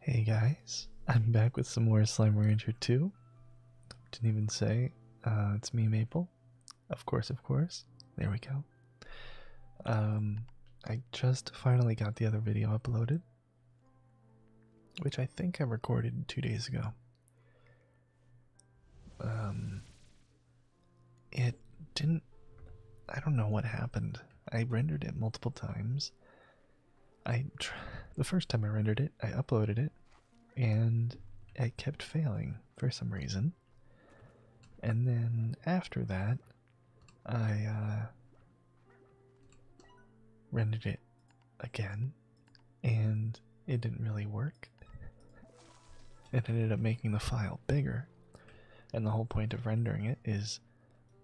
Hey guys, I'm back with some more Slime Ranger 2. Didn't even say, uh, it's me, Maple. Of course, of course. There we go. Um, I just finally got the other video uploaded, which I think I recorded two days ago. Um, it didn't. I don't know what happened. I rendered it multiple times. I the first time I rendered it, I uploaded it and I kept failing for some reason. And then after that, I uh rendered it again and it didn't really work. It ended up making the file bigger. And the whole point of rendering it is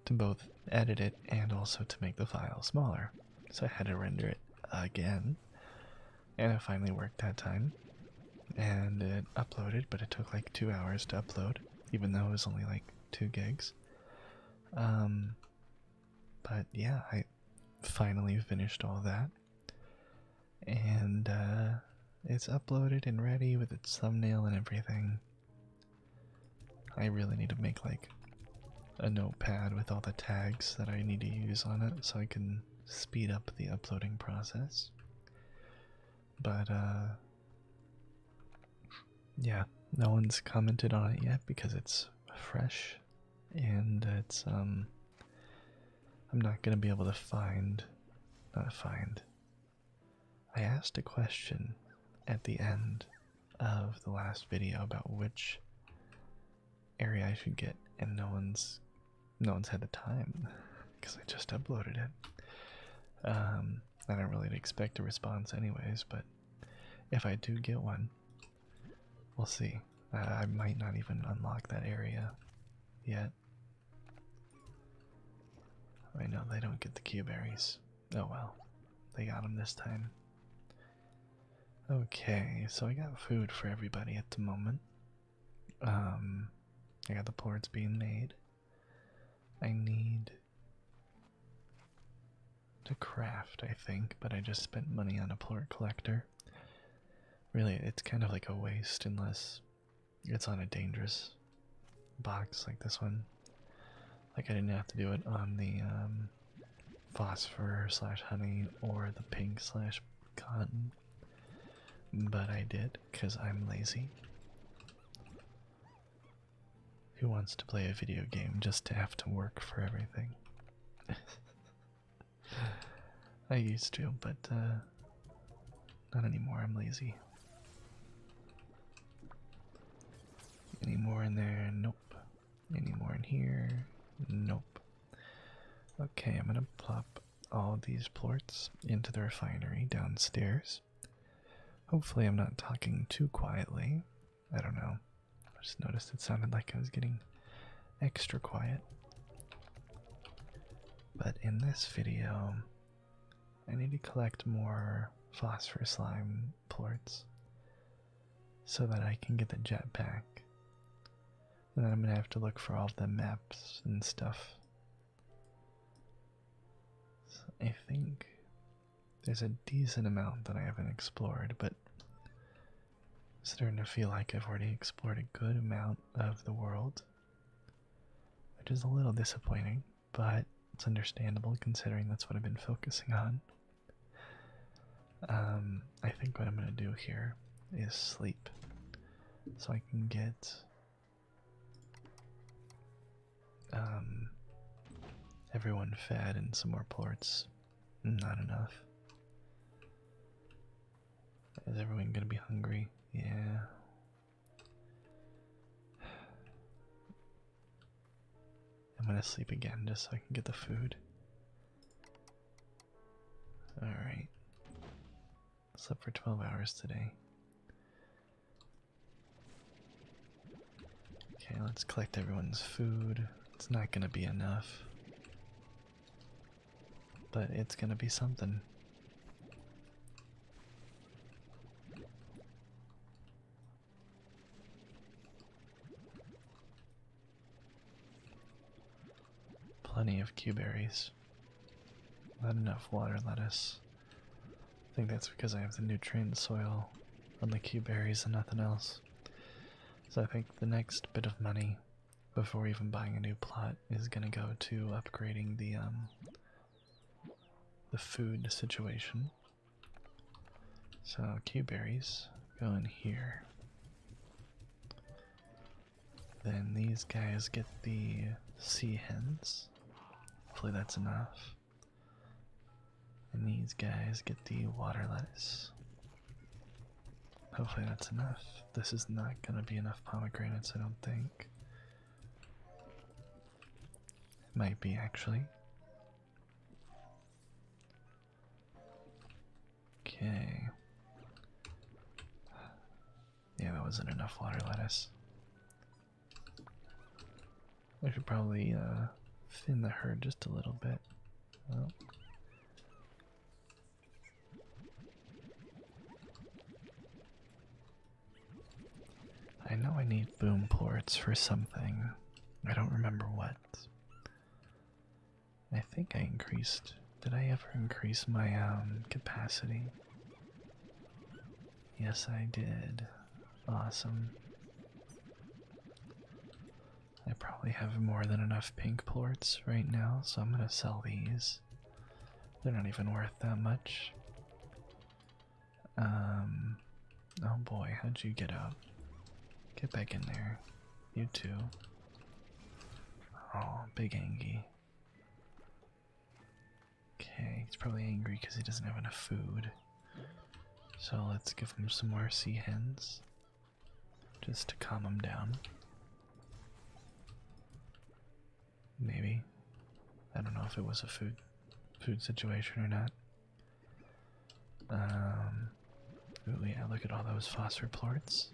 to both edit it and also to make the file smaller. So I had to render it again. And it finally worked that time. And it uploaded, but it took like two hours to upload, even though it was only like two gigs. Um, but yeah, I finally finished all that. And uh, it's uploaded and ready with its thumbnail and everything. I really need to make like a notepad with all the tags that I need to use on it so I can speed up the uploading process. But, uh, yeah, no one's commented on it yet because it's fresh and it's, um, I'm not gonna be able to find, not find, I asked a question at the end of the last video about which area I should get, and no one's no one's had the time because I just uploaded it. Um, I don't really expect a response, anyways. But if I do get one, we'll see. I might not even unlock that area yet. I know they don't get the key berries. Oh well, they got him this time. Okay, so I got food for everybody at the moment. Um, I got the ports being made. I need to craft, I think, but I just spent money on a port collector. Really, it's kind of like a waste unless it's on a dangerous box like this one. Like I didn't have to do it on the um, phosphor slash honey or the pink slash cotton. But I did because I'm lazy. Who wants to play a video game just to have to work for everything? I used to, but uh, not anymore. I'm lazy. Any more in there? Nope. Any more in here? Nope. Okay, I'm gonna plop all these plorts into the refinery downstairs. Hopefully, I'm not talking too quietly. I don't know. I just noticed it sounded like I was getting extra quiet. But in this video, I need to collect more phosphor slime plorts so that I can get the jetpack. And then I'm gonna have to look for all the maps and stuff. I think there's a decent amount that I haven't explored, but i starting to feel like I've already explored a good amount of the world, which is a little disappointing but it's understandable considering that's what I've been focusing on. Um, I think what I'm gonna do here is sleep, so I can get um, everyone fed and some more ports. Not enough. Is everyone gonna be hungry? Yeah, I'm gonna sleep again just so I can get the food. Alright. Slept for 12 hours today. Okay, let's collect everyone's food. It's not gonna be enough. But it's gonna be something. Plenty of Q berries. Not enough water lettuce. I think that's because I have the nutrient soil on the Q berries and nothing else. So I think the next bit of money before even buying a new plot is gonna go to upgrading the um the food situation. So, Q go in here. Then these guys get the sea hens. Hopefully, that's enough. And these guys get the water lettuce. Hopefully, that's enough. This is not gonna be enough pomegranates, I don't think. Might be actually. Okay. Yeah, that wasn't enough water lettuce. I should probably uh, thin the herd just a little bit. I know I need boom ports for something. I don't remember what. I think I increased. Did I ever increase my um, capacity? Yes, I did. Awesome. I probably have more than enough pink ports right now, so I'm gonna sell these. They're not even worth that much. Um, oh boy, how'd you get up? Get back in there. You too. Oh, big Angie. Okay, he's probably angry because he doesn't have enough food. So let's give him some more sea hens. Just to calm him down. Maybe. I don't know if it was a food food situation or not. Um, yeah, look at all those phosphor plorts.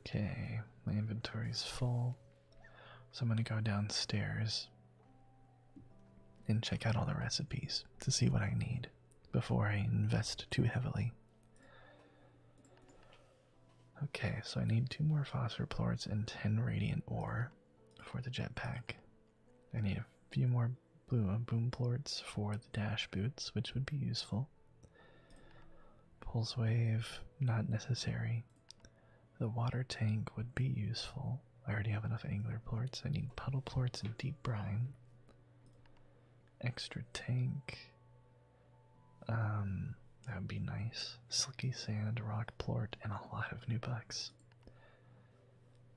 Okay, my inventory is full. So I'm gonna go downstairs and check out all the recipes to see what I need before I invest too heavily. Okay, so I need two more phosphor plorts and 10 radiant ore for the jetpack. I need a few more blue uh, boom plorts for the dash boots, which would be useful. Pulse wave, not necessary. The water tank would be useful. I already have enough angler ports. I need puddle ports and deep brine. Extra tank. Um, that would be nice. Slicky Sand, Rock Plort, and a lot of new bucks.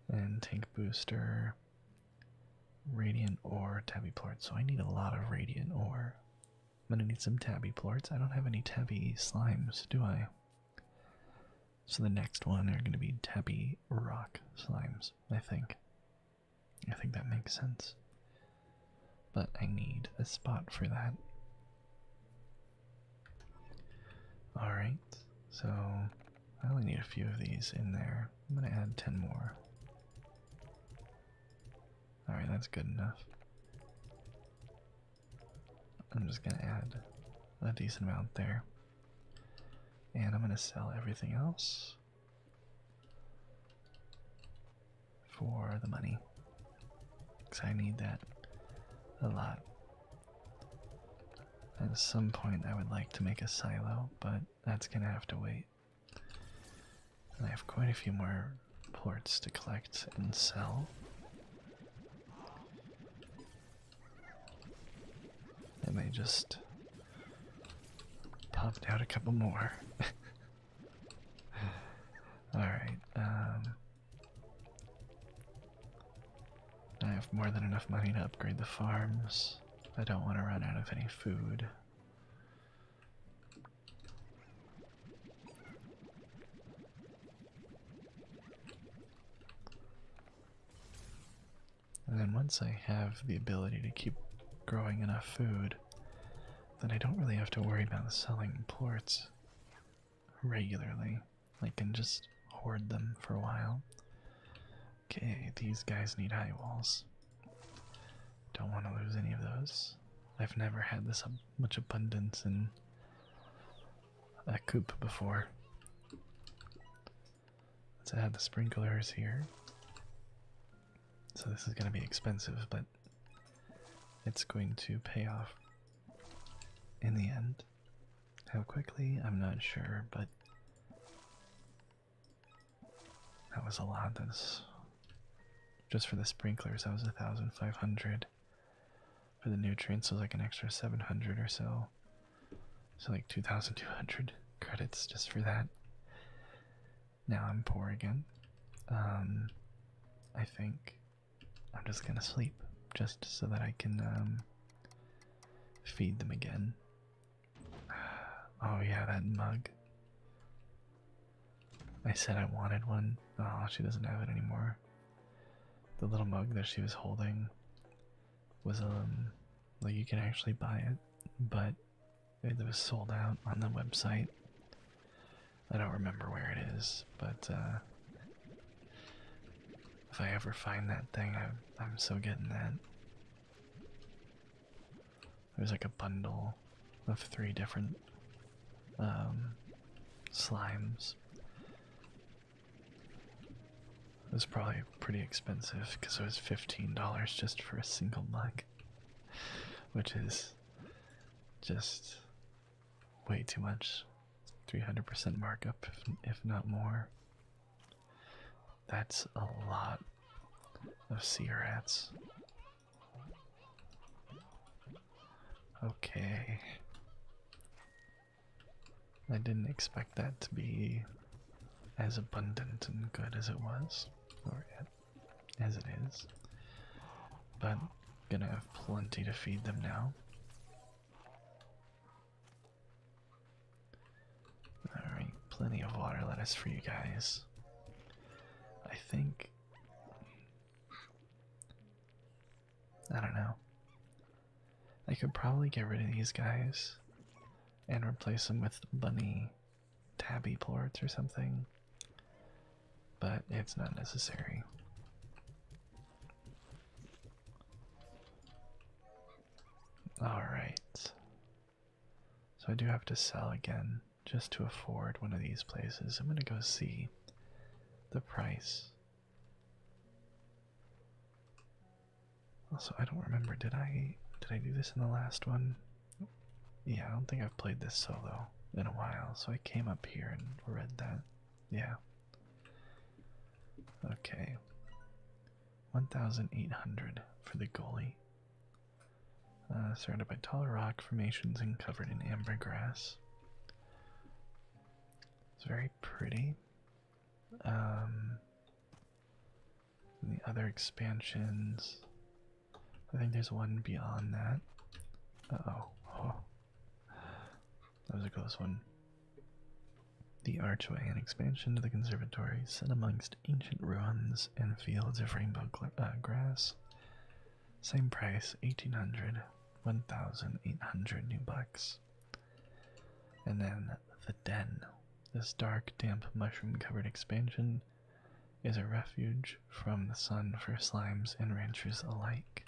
And Tank Booster, Radiant Ore, Tabby Plort. So I need a lot of Radiant Ore. I'm gonna need some Tabby Plorts. I don't have any Tabby Slimes, do I? So the next one are gonna be Tabby Rock Slimes, I think. I think that makes sense. But I need a spot for that. Alright, so I only need a few of these in there. I'm gonna add 10 more. Alright, that's good enough. I'm just gonna add a decent amount there. And I'm gonna sell everything else for the money. Because I need that a lot. At some point, I would like to make a silo, but that's gonna have to wait. I have quite a few more ports to collect and sell. And I just popped out a couple more. Alright, um, I have more than enough money to upgrade the farms. I don't want to run out of any food. And then once I have the ability to keep growing enough food, then I don't really have to worry about selling ports regularly. I can just hoard them for a while. Okay, these guys need high walls. Don't want to lose any of those. I've never had this much abundance in a coop before. Let's add the sprinklers here. So this is going to be expensive, but it's going to pay off in the end. How quickly? I'm not sure, but that was a lot. That's just for the sprinklers. That was a thousand five hundred. For the nutrients was like an extra seven hundred or so. So like two thousand two hundred credits just for that. Now I'm poor again. Um, I think I'm just gonna sleep just so that I can um, feed them again. Oh, yeah, that mug. I said I wanted one. Oh, she doesn't have it anymore. The little mug that she was holding was, um, like you can actually buy it, but it was sold out on the website. I don't remember where it is, but, uh, if I ever find that thing, I, am so getting that. There's like a bundle of three different um, slimes. It was probably pretty expensive because it was $15 just for a single mug, which is just way too much. 300% markup, if, not more. That's a lot of sea rats. Okay. I didn't expect that to be as abundant and good as it was, or as it is. But gonna have plenty to feed them now. Alright, plenty of water lettuce for you guys. I think. I don't know. I could probably get rid of these guys and replace them with bunny tabby plorts or something, but it's not necessary. Alright. So I do have to sell again just to afford one of these places. I'm gonna go see the price. Also, I don't remember, did I did I do this in the last one? Yeah, I don't think I've played this solo in a while, so I came up here and read that. Yeah. Okay. 1,800 for the goalie. Uh, surrounded by tall rock formations and covered in amber grass, It's very pretty. Um, the other expansions. I think there's one beyond that. oh. That was a close one. The archway, and expansion to the conservatory, set amongst ancient ruins and fields of rainbow uh, grass. Same price, 1800, 1800 new bucks. And then the den. This dark, damp, mushroom covered expansion is a refuge from the sun for slimes and ranchers alike.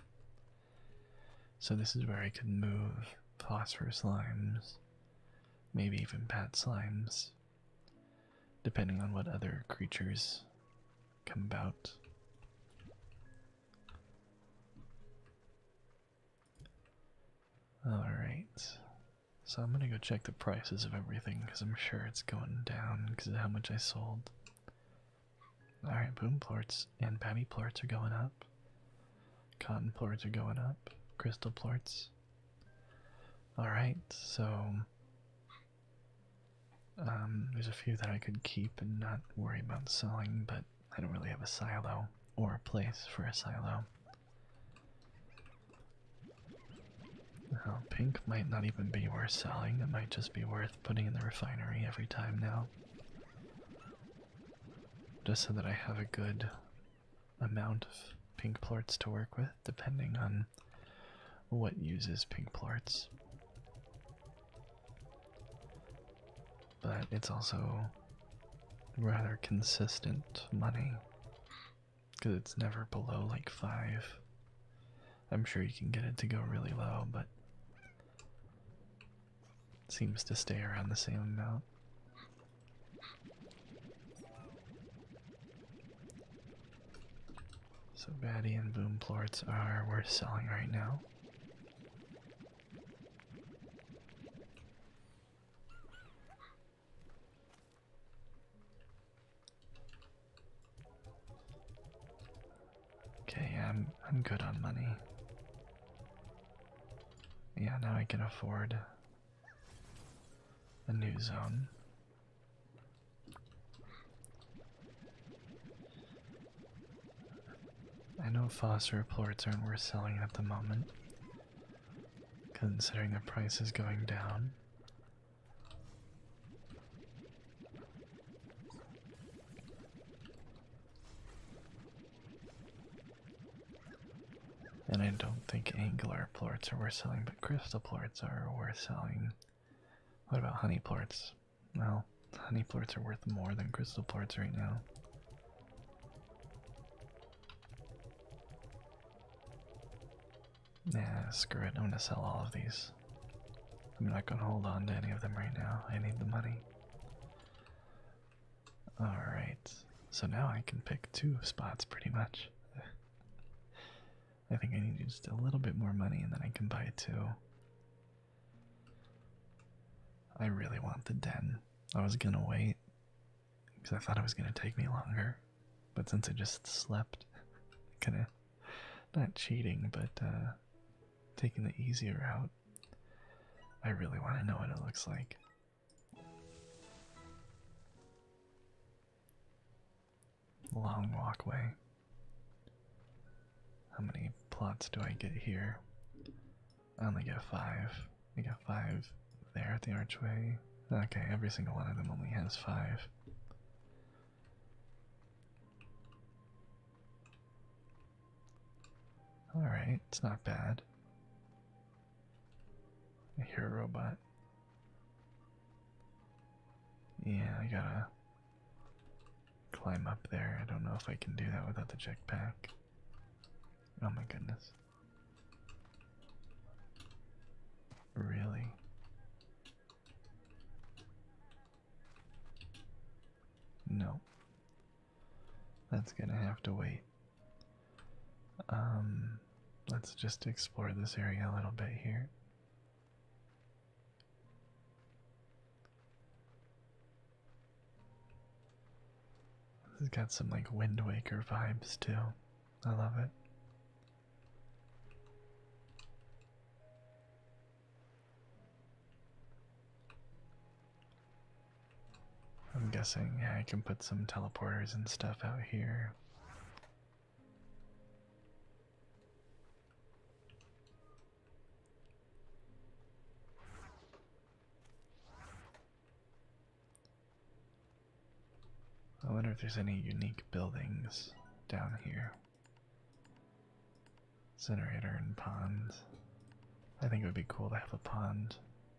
So this is where I could move phosphorus limes, maybe even bat slimes, depending on what other creatures come about. Alright, so I'm gonna go check the prices of everything because I'm sure it's going down because of how much I sold. Alright, boom plorts and Babby plorts are going up. Cotton plorts are going up. Crystal plorts. Alright, so um, there's a few that I could keep and not worry about selling, but I don't really have a silo or a place for a silo. pink might not even be worth selling, it might just be worth putting in the refinery every time now just so that I have a good amount of pink plorts to work with, depending on what uses pink plorts. But it's also rather consistent money because it's never below like 5. I'm sure you can get it to go really low, but seems to stay around the same amount. So Batty and Boom Plorts are worth selling right now. Okay, I'm I'm good on money. Yeah, now I can afford a new zone. I know phosphor reports aren't worth selling at the moment, considering the price is going down. And I don't think angular plorts are worth selling, but crystal plorts are worth selling. What about honey plorts? Well, honey plorts are worth more than crystal plorts right now. Nah, screw it. I'm gonna sell all of these. I'm not gonna hold on to any of them right now. I need the money. Alright, so now I can pick two spots pretty much. I think I need just a little bit more money and then I can buy two. I really want the den. I was gonna wait because I thought it was gonna take me longer, but since I just slept, kinda not cheating, but uh, taking the easier route. I really want to know what it looks like. Long walkway. How many plots do I get here? I only get five. I got five there at the archway. Okay, every single one of them only has five. Alright, it's not bad. I hear a robot. Yeah, I gotta climb up there. I don't know if I can do that without the jetpack. Oh my goodness. Really? No. That's gonna have to wait. Um, let's just explore this area a little bit here. This has got some like Wind Waker vibes too. I love it. I'm guessing I can put some teleporters and stuff out here. I wonder if there's any unique buildings down here incinerator and pond. I think it would be cool to have a pond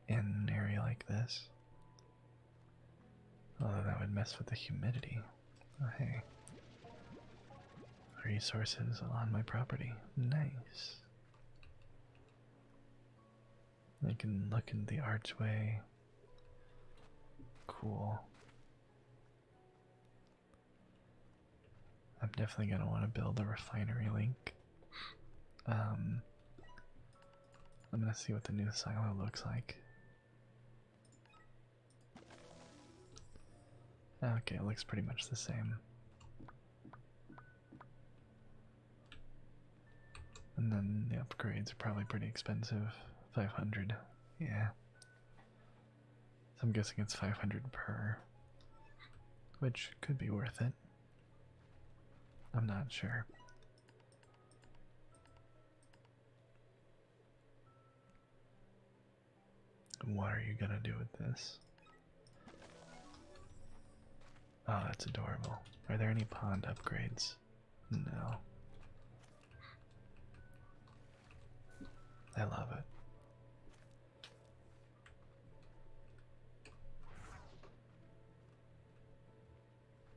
in an area like this. Although that would mess with the humidity. Oh, hey. Resources on my property. Nice. I can look in the archway. Cool. I'm definitely going to want to build a refinery link. Um, I'm going to see what the new silo looks like. Okay, it looks pretty much the same. And then the upgrades are probably pretty expensive. 500, yeah. So I'm guessing it's 500 per which could be worth it. I'm not sure. What are you gonna do with this? Oh, that's adorable. Are there any pond upgrades? No. I love it.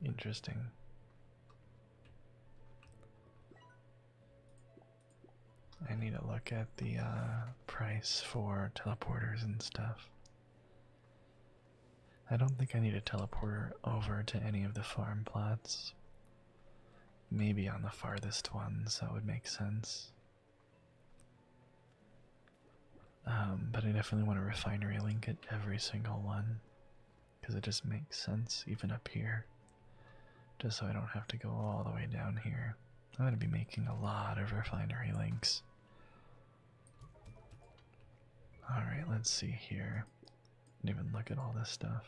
Interesting. I need to look at the uh, price for teleporters and stuff. I don't think I need a teleporter over to any of the farm plots. Maybe on the farthest ones, that would make sense. Um, but I definitely want to refinery link at every single one because it just makes sense, even up here. Just so I don't have to go all the way down here. I'm going to be making a lot of refinery links. Alright, let's see here. did even look at all this stuff.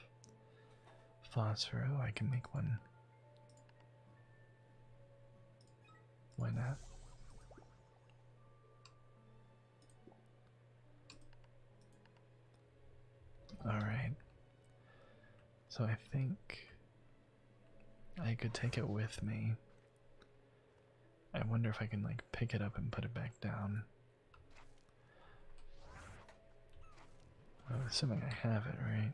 Phosphor, I can make one. Why not? Alright. So I think I could take it with me. I wonder if I can like pick it up and put it back down. I'm assuming I have it, right?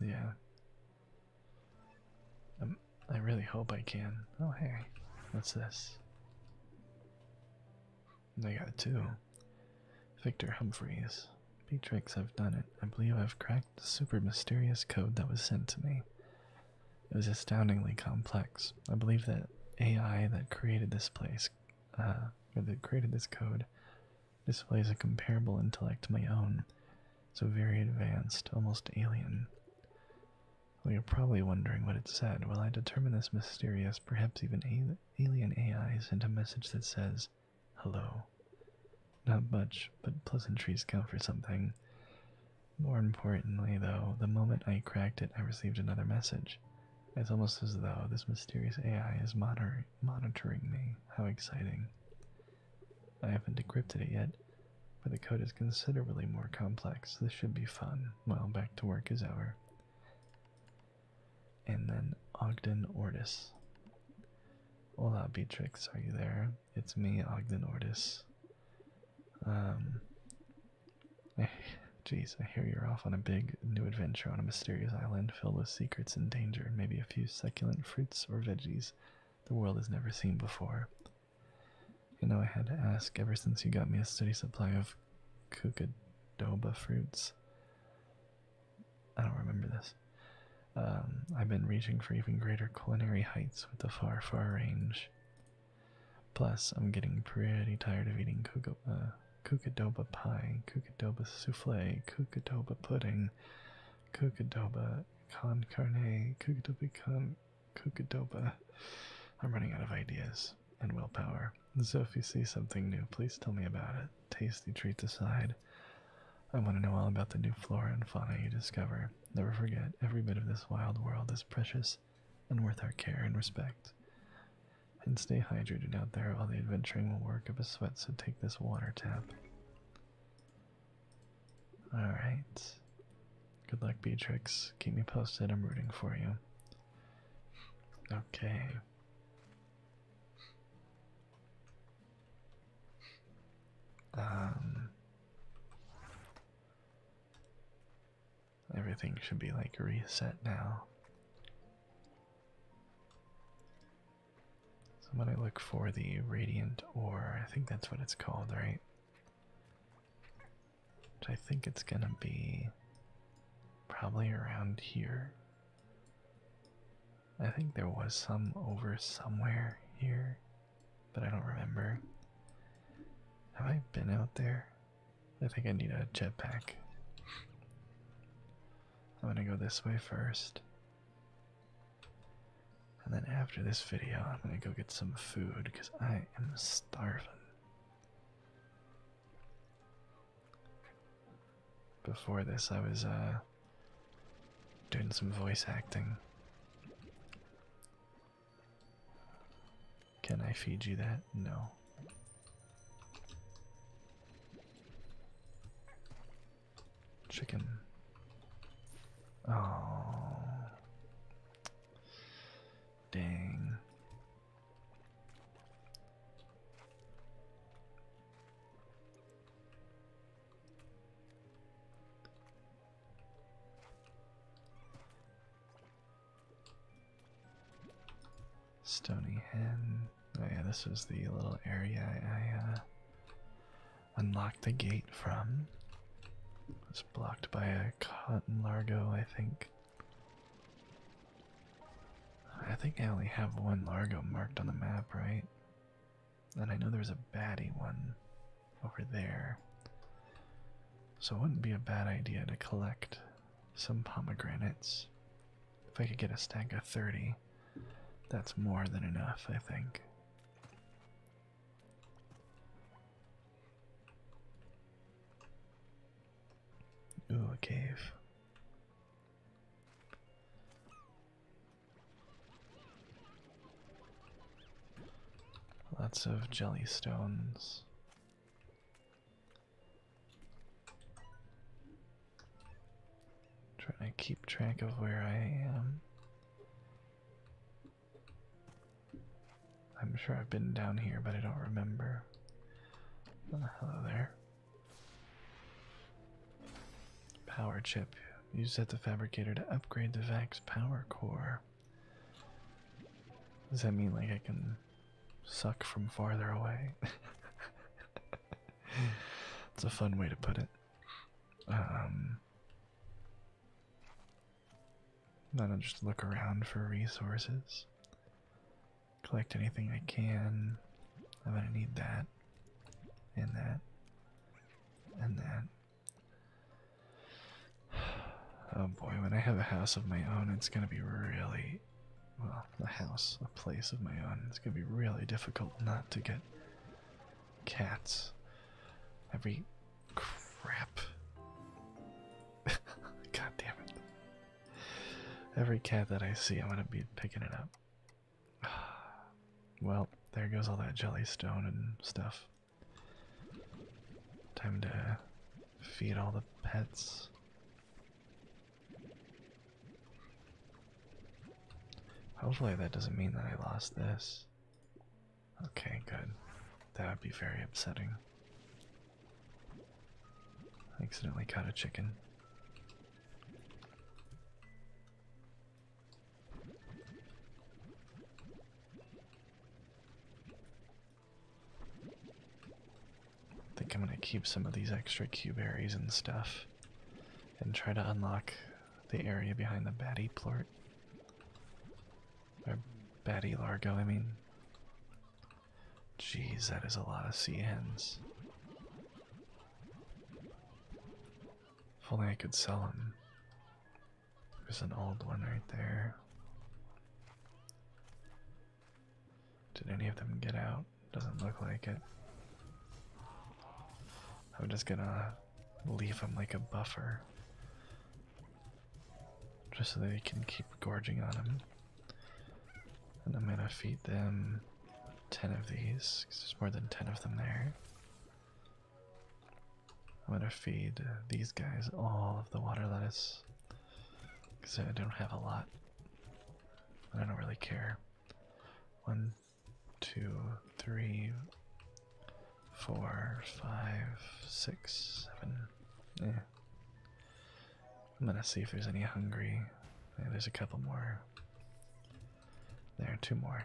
Yeah. Um, I really hope I can. Oh, hey. What's this? I got it too. Victor Humphreys. Beatrix, I've done it. I believe I've cracked the super mysterious code that was sent to me. It was astoundingly complex. I believe that AI that created this place, uh, that created this code, displays a comparable intellect to my own, so very advanced, almost alien. you're probably wondering what it said. Well, I determined this mysterious, perhaps even alien AI into a message that says, Hello. Not much, but pleasantries count for something. More importantly, though, the moment I cracked it, I received another message. It's almost as though this mysterious AI is monitoring me. How exciting. I haven't decrypted it yet, but the code is considerably more complex. This should be fun. Well, back to work is over. And then Ogden Ortis. Hola, Beatrix, are you there? It's me, Ogden Ortis. Um, jeez, I hear you're off on a big new adventure on a mysterious island filled with secrets and danger, maybe a few succulent fruits or veggies the world has never seen before. You know, I had to ask ever since you got me a steady supply of kookadoba fruits. I don't remember this. Um, I've been reaching for even greater culinary heights with the far, far range. Plus, I'm getting pretty tired of eating kuka, uh, pie, kookadoba souffle, kookadoba pudding, Kokodoba, Con Carne, Kokodoba, Con Kokodoba. I'm running out of ideas and willpower. So if you see something new, please tell me about it. Tasty treat aside. I want to know all about the new flora and fauna you discover. Never forget, every bit of this wild world is precious and worth our care and respect. And stay hydrated out there, all the adventuring will work up a sweat, so take this water tap. All right. Good luck, Beatrix. Keep me posted. I'm rooting for you. Okay. Um Everything should be like reset now. So I'm gonna look for the radiant ore. I think that's what it's called, right? Which I think it's gonna be probably around here. I think there was some over somewhere here, but I don't remember. Have I been out there? I think I need a jetpack. I'm gonna go this way first. And then after this video, I'm gonna go get some food because I am starving. Before this, I was uh, doing some voice acting. Can I feed you that? No. Chicken. Oh. Dang. Stony Hen. Oh yeah, this is the little area I uh, unlock the gate from. It's blocked by a cotton largo, I think. I think I only have one largo marked on the map, right? And I know there's a baddie one over there. So it wouldn't be a bad idea to collect some pomegranates. If I could get a stack of 30, that's more than enough, I think. Ooh, a cave. Lots of jelly stones. Trying to keep track of where I am. I'm sure I've been down here, but I don't remember. hello there. Power chip. You set the fabricator to upgrade the VAC's power core. Does that mean like I can suck from farther away? It's a fun way to put it i um, then I'll just look around for resources. Collect anything I can. I'm gonna need that, and that, and that. Oh boy, when I have a house of my own, it's gonna be really. Well, a house, a place of my own, it's gonna be really difficult not to get cats. Every crap. God damn it. Every cat that I see, I'm gonna be picking it up. Well, there goes all that jellystone and stuff. Time to feed all the pets. Hopefully that doesn't mean that I lost this. Okay, good. That would be very upsetting. I accidentally caught a chicken. think I'm gonna keep some of these extra cube berries and stuff and try to unlock the area behind the Batty Plort. Or Batty Largo, I mean. Jeez, that is a lot of sea hens. If only I could sell them. There's an old one right there. Did any of them get out? Doesn't look like it. I'm just gonna leave them like a buffer. Just so they can keep gorging on them. And I'm gonna feed them 10 of these, there's more than 10 of them there. I'm gonna feed these guys all of the water lettuce, because I don't have a lot. but I don't really care. One, two, three, four, five, six, seven. Yeah. I'm gonna see if there's any hungry. there's a couple more. There are two more.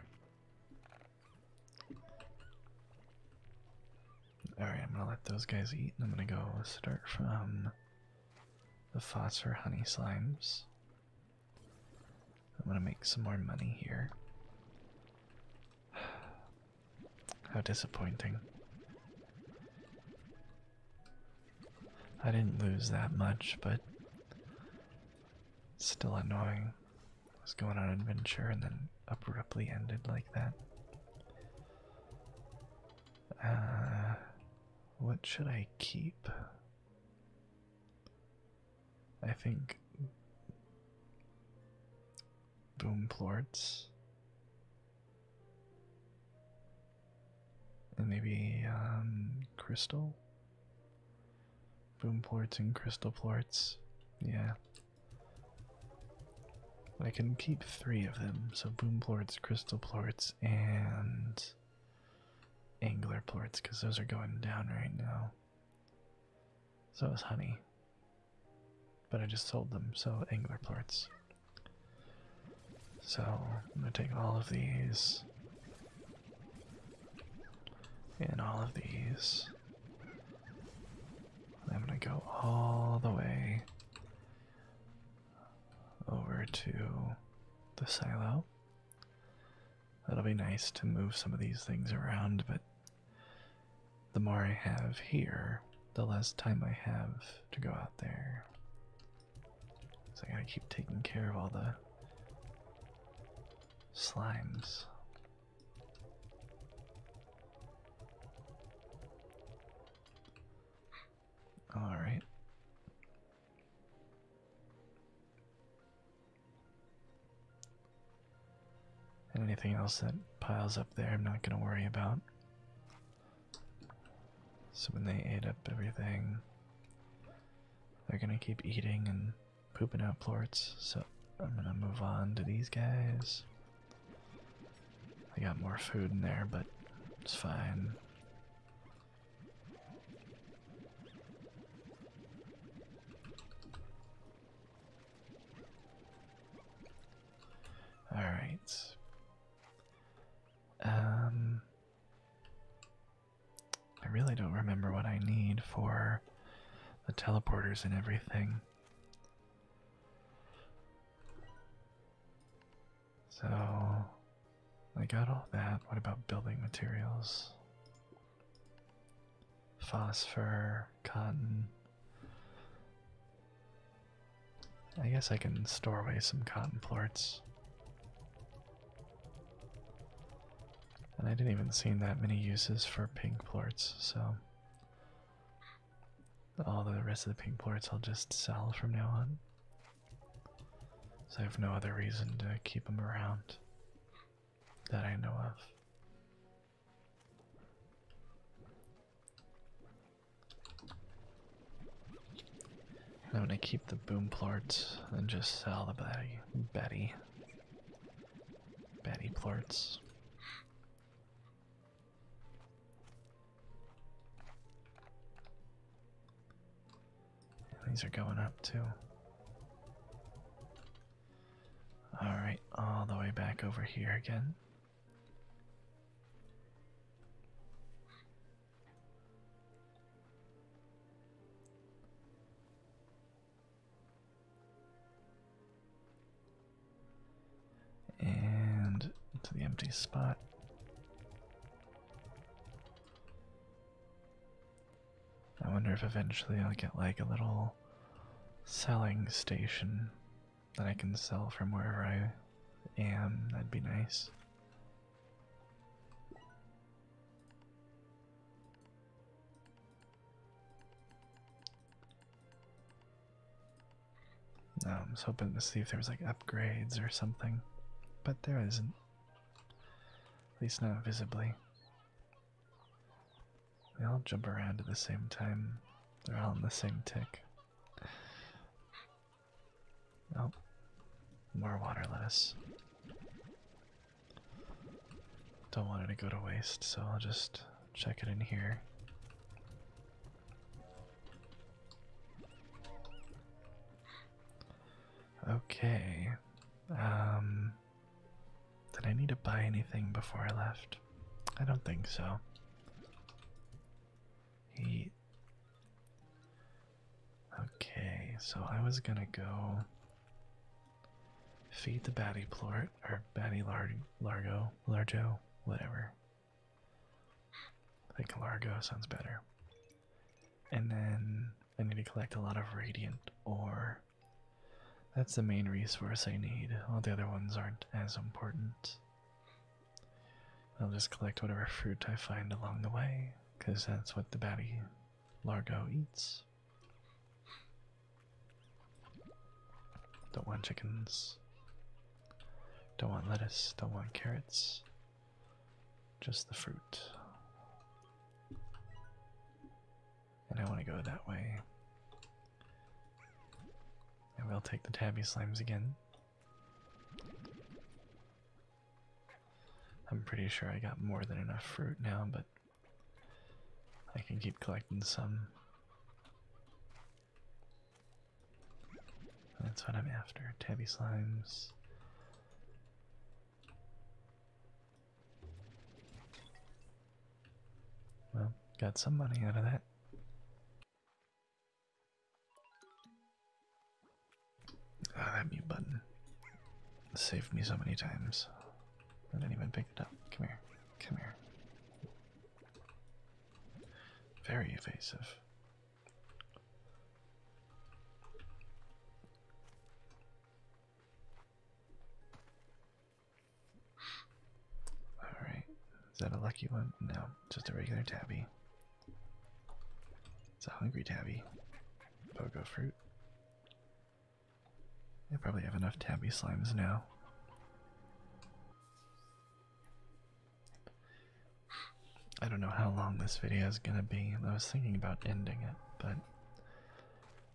Alright, I'm gonna let those guys eat and I'm gonna go start from the phosphor honey slimes. I want to make some more money here. How disappointing. I didn't lose that much, but still annoying. was going on adventure and then abruptly ended like that. Uh, what should I keep? I think boom Boomplorts. And maybe um, crystal boom Boomplorts and Crystal Plorts. Yeah. I can keep three of them, so boom Boomplorts, Crystal Plorts, and Angler Plorts, because those are going down right now. So it was honey. But I just sold them, so angular plorts. So I'm gonna take all of these. And all of these. And I'm gonna go all the way over to the silo. That'll be nice to move some of these things around, but the more I have here, the less time I have to go out there. So I gotta keep taking care of all the slimes. All right. And anything else that piles up there, I'm not going to worry about. So when they ate up everything, they're going to keep eating and pooping out plorts. So I'm going to move on to these guys. I got more food in there, but it's fine. All right. Um I really don't remember what I need for the teleporters and everything. So I got all that. What about building materials? phosphor, cotton. I guess I can store away some cotton plorts. And I didn't even see that many uses for pink plorts, so all the rest of the pink plorts I'll just sell from now on. So I have no other reason to keep them around that I know of. I'm gonna keep the boom plorts and just sell the Betty Betty Betty plorts. These are going up too. Alright, all the way back over here again. And to the empty spot. I wonder if eventually I'll get like a little selling station that I can sell from wherever I am. That'd be nice. I was hoping to see if there was like upgrades or something, but there isn't. At least not visibly. They all jump around at the same time. They're all on the same tick. Oh, more water lettuce. Don't want it to go to waste, so I'll just check it in here. Okay. Um did I need to buy anything before I left? I don't think so. He. Okay, so I was gonna go feed the baddie plort or baddie lar largo largo whatever. I think largo sounds better. And then I need to collect a lot of radiant ore. That's the main resource I need. All the other ones aren't as important. I'll just collect whatever fruit I find along the way, because that's what the batty Largo eats. Don't want chickens. Don't want lettuce. Don't want carrots. Just the fruit. And I want to go that way. And we'll take the tabby slimes again. I'm pretty sure I got more than enough fruit now, but I can keep collecting some. That's what I'm after. Tabby slimes. Well, got some money out of that. Ah, that mute button saved me so many times. I didn't even pick it up. Come here. Come here. Very evasive. Alright, is that a lucky one? No, just a regular tabby. It's a hungry tabby. Pogo fruit. I probably have enough tabby slimes now. I don't know how long this video is gonna be. I was thinking about ending it, but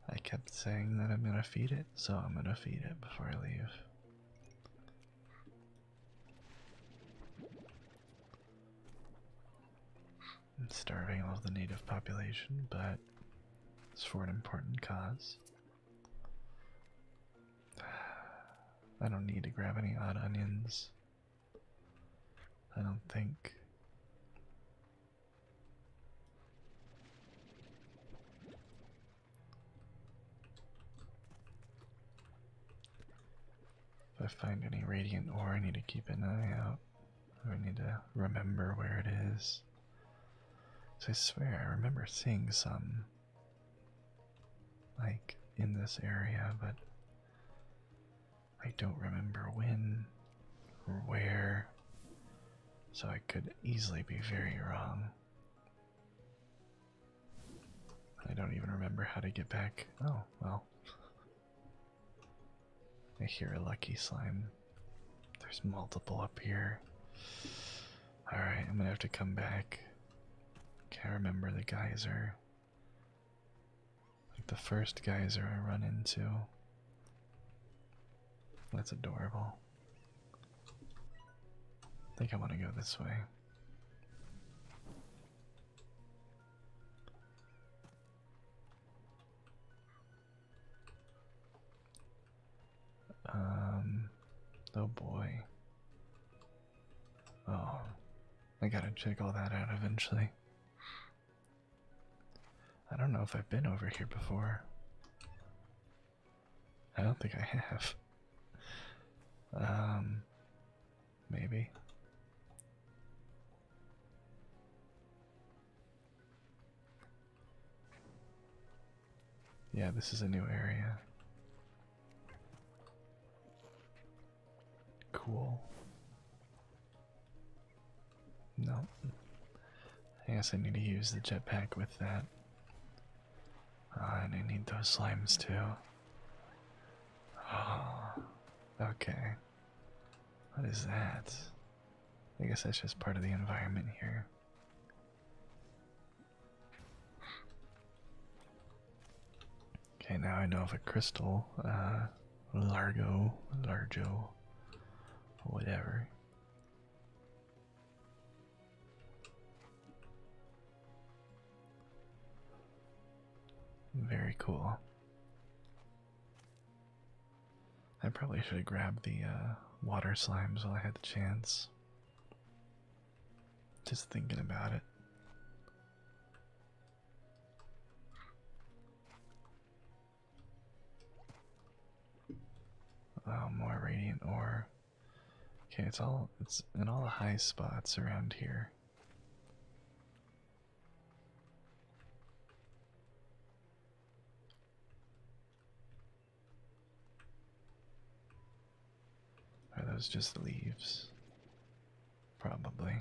I kept saying that I'm gonna feed it, so I'm gonna feed it before I leave. starving all of the native population, but it's for an important cause. I don't need to grab any odd onions. I don't think. If I find any radiant ore, I need to keep an eye out. I need to remember where it is. I swear, I remember seeing some, like, in this area, but I don't remember when or where. So I could easily be very wrong. I don't even remember how to get back. Oh, well. I hear a lucky slime. There's multiple up here. Alright, I'm gonna have to come back. Can't remember the geyser. Like the first geyser I run into. That's adorable. I think I want to go this way. Um, oh boy. Oh, I gotta check all that out eventually. I don't know if I've been over here before. I don't think I have. Um, maybe. Yeah, this is a new area. Cool. No. I guess I need to use the jetpack with that. Oh, and I need those slimes too. Oh, okay. What is that? I guess that's just part of the environment here. Okay, now I know of a crystal, uh, Largo, Largo, whatever. Very cool. I probably should have grabbed the uh, water slimes while I had the chance. Just thinking about it. Oh, more radiant ore. Okay, it's all it's in all the high spots around here. Are those just leaves? Probably.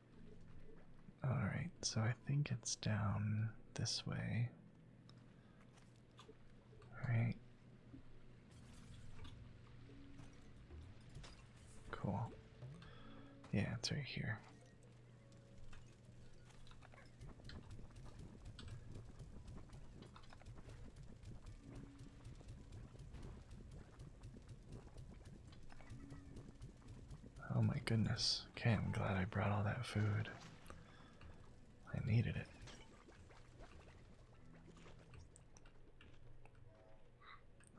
Alright, so I think it's down this way. Alright. Cool. Yeah, it's right here. Oh my goodness. Okay, I'm glad I brought all that food. I needed it.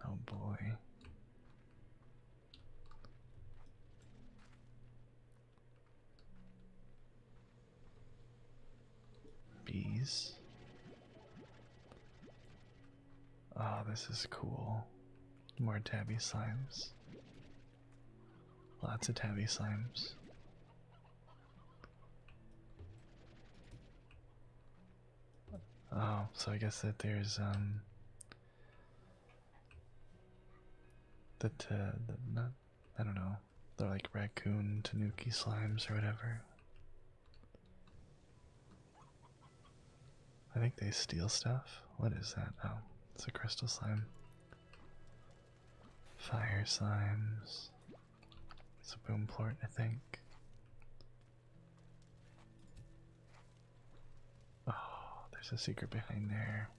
Oh boy. Bees. Oh, this is cool. More tabby slimes. Lots of tabby slimes. Oh, so I guess that there's um that uh, the, not I don't know they're like raccoon tanuki slimes or whatever. I think they steal stuff. What is that? Oh, it's a crystal slime. Fire slimes. It's a boom port, I think. Oh, there's a secret behind there.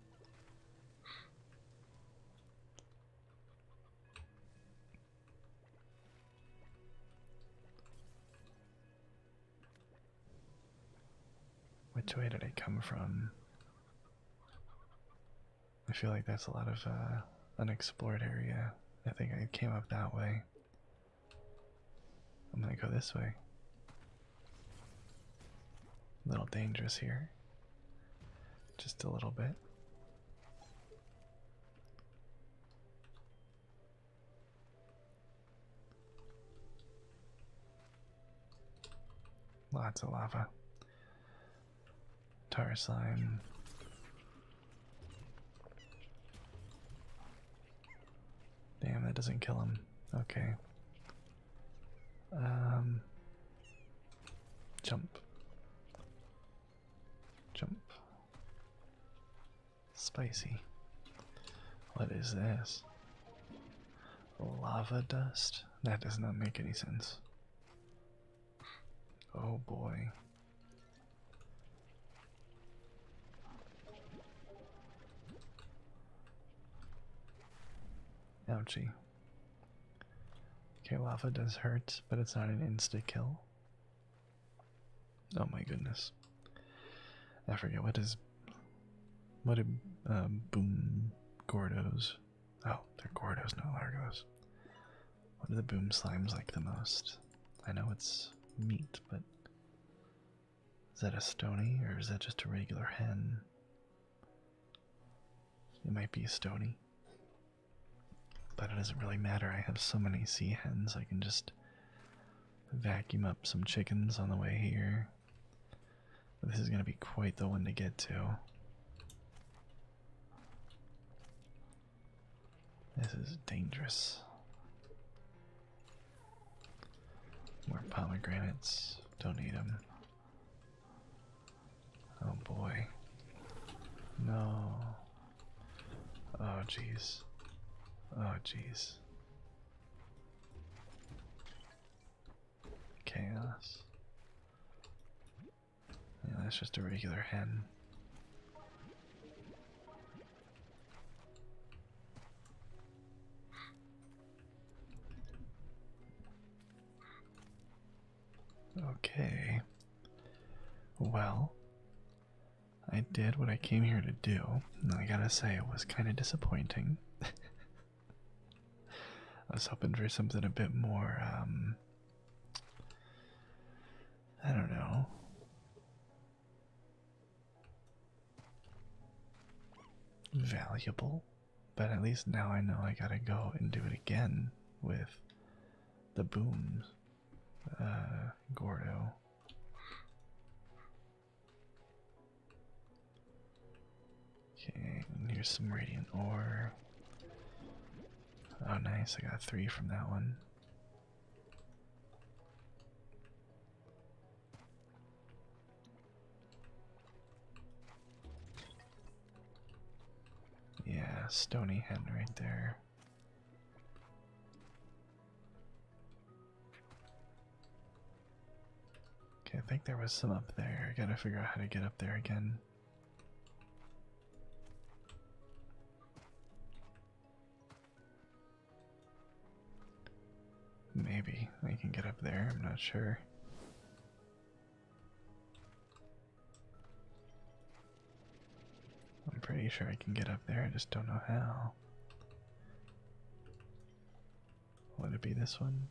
Which way did I come from? I feel like that's a lot of uh, unexplored area. I think I came up that way. I'm gonna go this way. A little dangerous here. Just a little bit. Lots of lava. Tar slime. Damn, that doesn't kill him. Okay. Um jump. Jump. Spicy. What is this? Lava dust? That does not make any sense. Oh boy. Ouchie. Okay, lava does hurt, but it's not an insta kill. Oh my goodness. I forget what is. What do uh, um, boom gordos? Oh, they're gordos, not largos. What do the boom slimes like the most? I know it's meat, but is that a stony or is that just a regular hen? It might be a stony, but it doesn't really matter. I have so many sea hens, I can just vacuum up some chickens on the way here. This is going to be quite the one to get to. This is dangerous. More pomegranates. Don't eat them. Oh boy. No. Oh jeez. Oh jeez. Chaos. Yeah, that's just a regular hen. Okay. Well, I did what I came here to do. And I gotta say, it was kind of disappointing. I was hoping for something a bit more, um, I don't know. Valuable, but at least now I know I gotta go and do it again with the booms, uh, Gordo. Okay, here's some radiant ore. Oh, nice, I got three from that one. Yeah, Stony Hen right there. Okay, I think there was some up there. I gotta figure out how to get up there again. Maybe I can get up there, I'm not sure. I'm pretty sure I can get up there, I just don't know how. Would it be this one?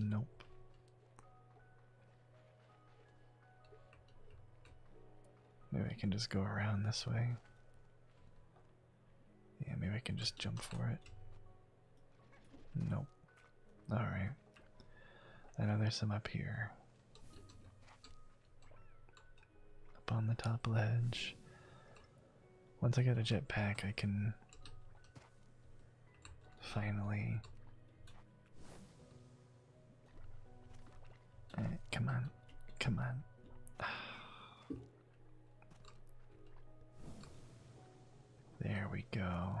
Nope. Maybe I can just go around this way. Yeah, maybe I can just jump for it. Nope. Alright. I know there's some up here. Up on the top ledge. Once I get a jetpack, I can finally. Eh, come on. Come on. There we go.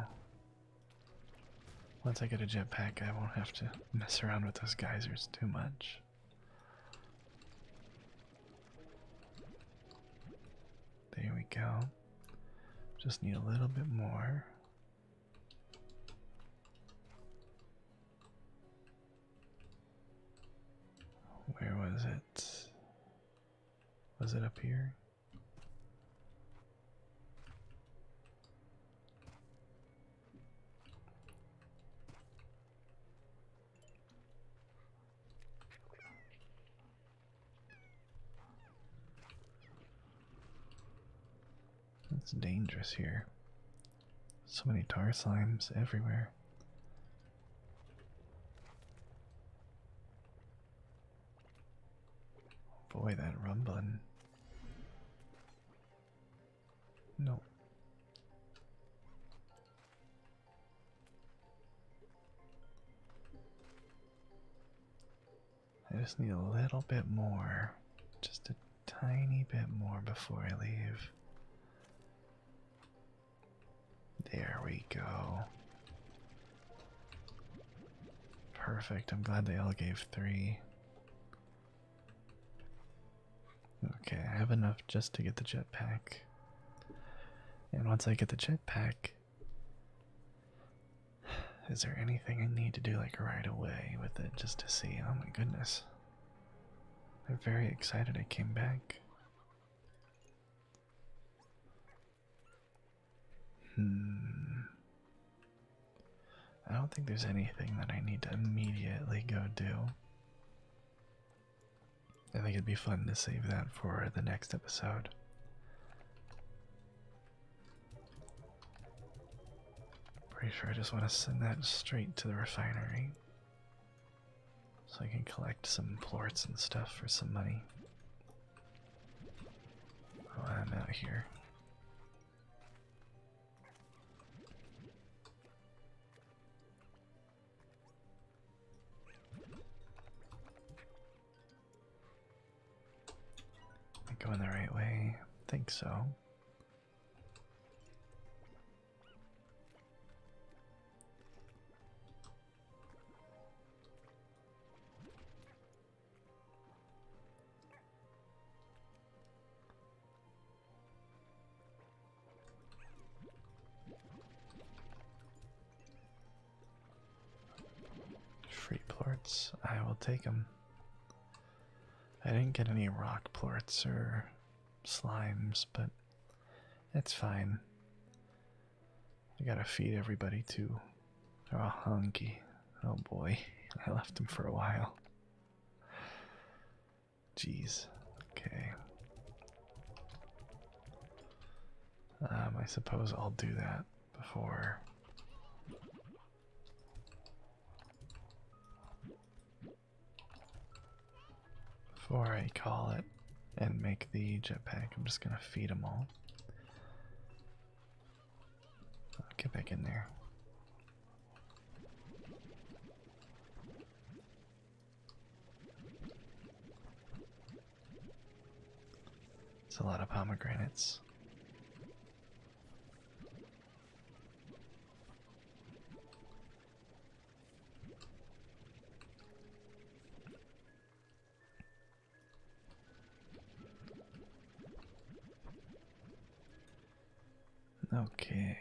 Once I get a jetpack, I won't have to mess around with those geysers too much. There we go. Just need a little bit more. Where was it? Was it up here? It's dangerous here. So many tar slimes everywhere. Boy, that rumbling. No. I just need a little bit more. Just a tiny bit more before I leave. There we go. Perfect. I'm glad they all gave three. Okay, I have enough just to get the jetpack. And once I get the jetpack, is there anything I need to do like right away with it just to see? Oh my goodness. I'm very excited I came back. Hmm. I don't think there's anything that I need to immediately go do. I think it'd be fun to save that for the next episode. Pretty sure I just want to send that straight to the refinery. So I can collect some plorts and stuff for some money. Oh, I'm out of here. Am going the right way? I think so. Free plorts, I will take them. I didn't get any rock plorts or slimes, but it's fine. I gotta feed everybody too. They're all hungry. Oh boy, I left them for a while. Jeez. Okay. Um, I suppose I'll do that before. Before I call it and make the jetpack, I'm just gonna feed them all get back in there. It's a lot of pomegranates. Okay.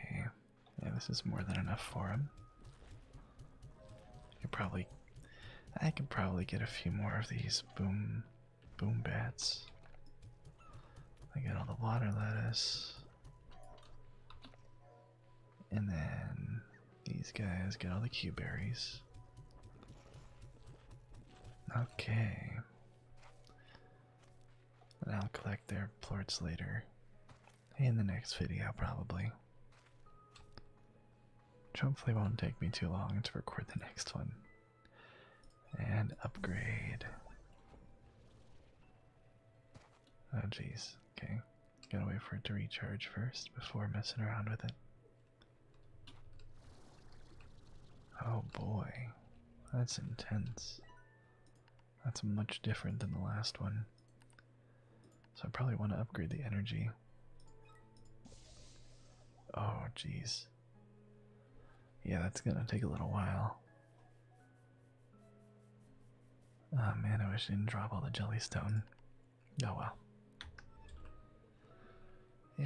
Yeah, this is more than enough for him. I could probably I could probably get a few more of these boom boom bats. I get all the water lettuce. And then these guys get all the cube berries. Okay. I'll collect their ports later. In the next video, probably. Which hopefully won't take me too long to record the next one. And upgrade. Oh, jeez. Okay. Gotta wait for it to recharge first before messing around with it. Oh boy, that's intense. That's much different than the last one. So I probably want to upgrade the energy. Oh jeez. Yeah, that's gonna take a little while. Ah oh, man, I wish I didn't drop all the jellystone. Oh well.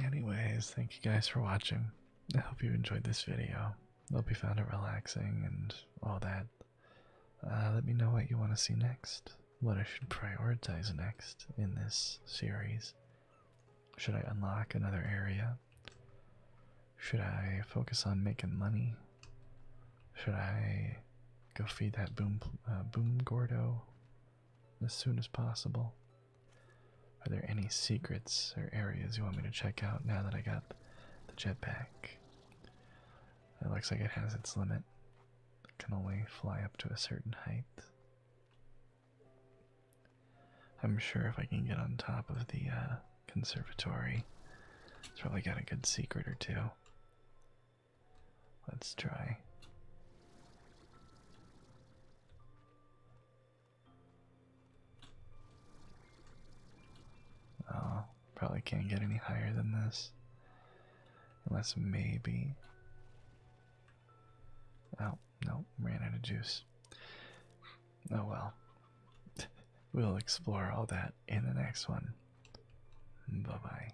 Anyways, thank you guys for watching. I hope you enjoyed this video. I hope you found it relaxing and all that. Uh, let me know what you want to see next. What I should prioritize next in this series. Should I unlock another area? Should I focus on making money? Should I go feed that boom uh, boom gordo? as soon as possible. Are there any secrets or areas you want me to check out now that I got the jetpack? It looks like it has its limit. It can only fly up to a certain height. I'm sure if I can get on top of the uh, conservatory, it's probably got a good secret or two. Let's try. Oh, probably can't get any higher than this. Unless maybe. Oh, no, ran out of juice. Oh well. we'll explore all that in the next one. Bye bye.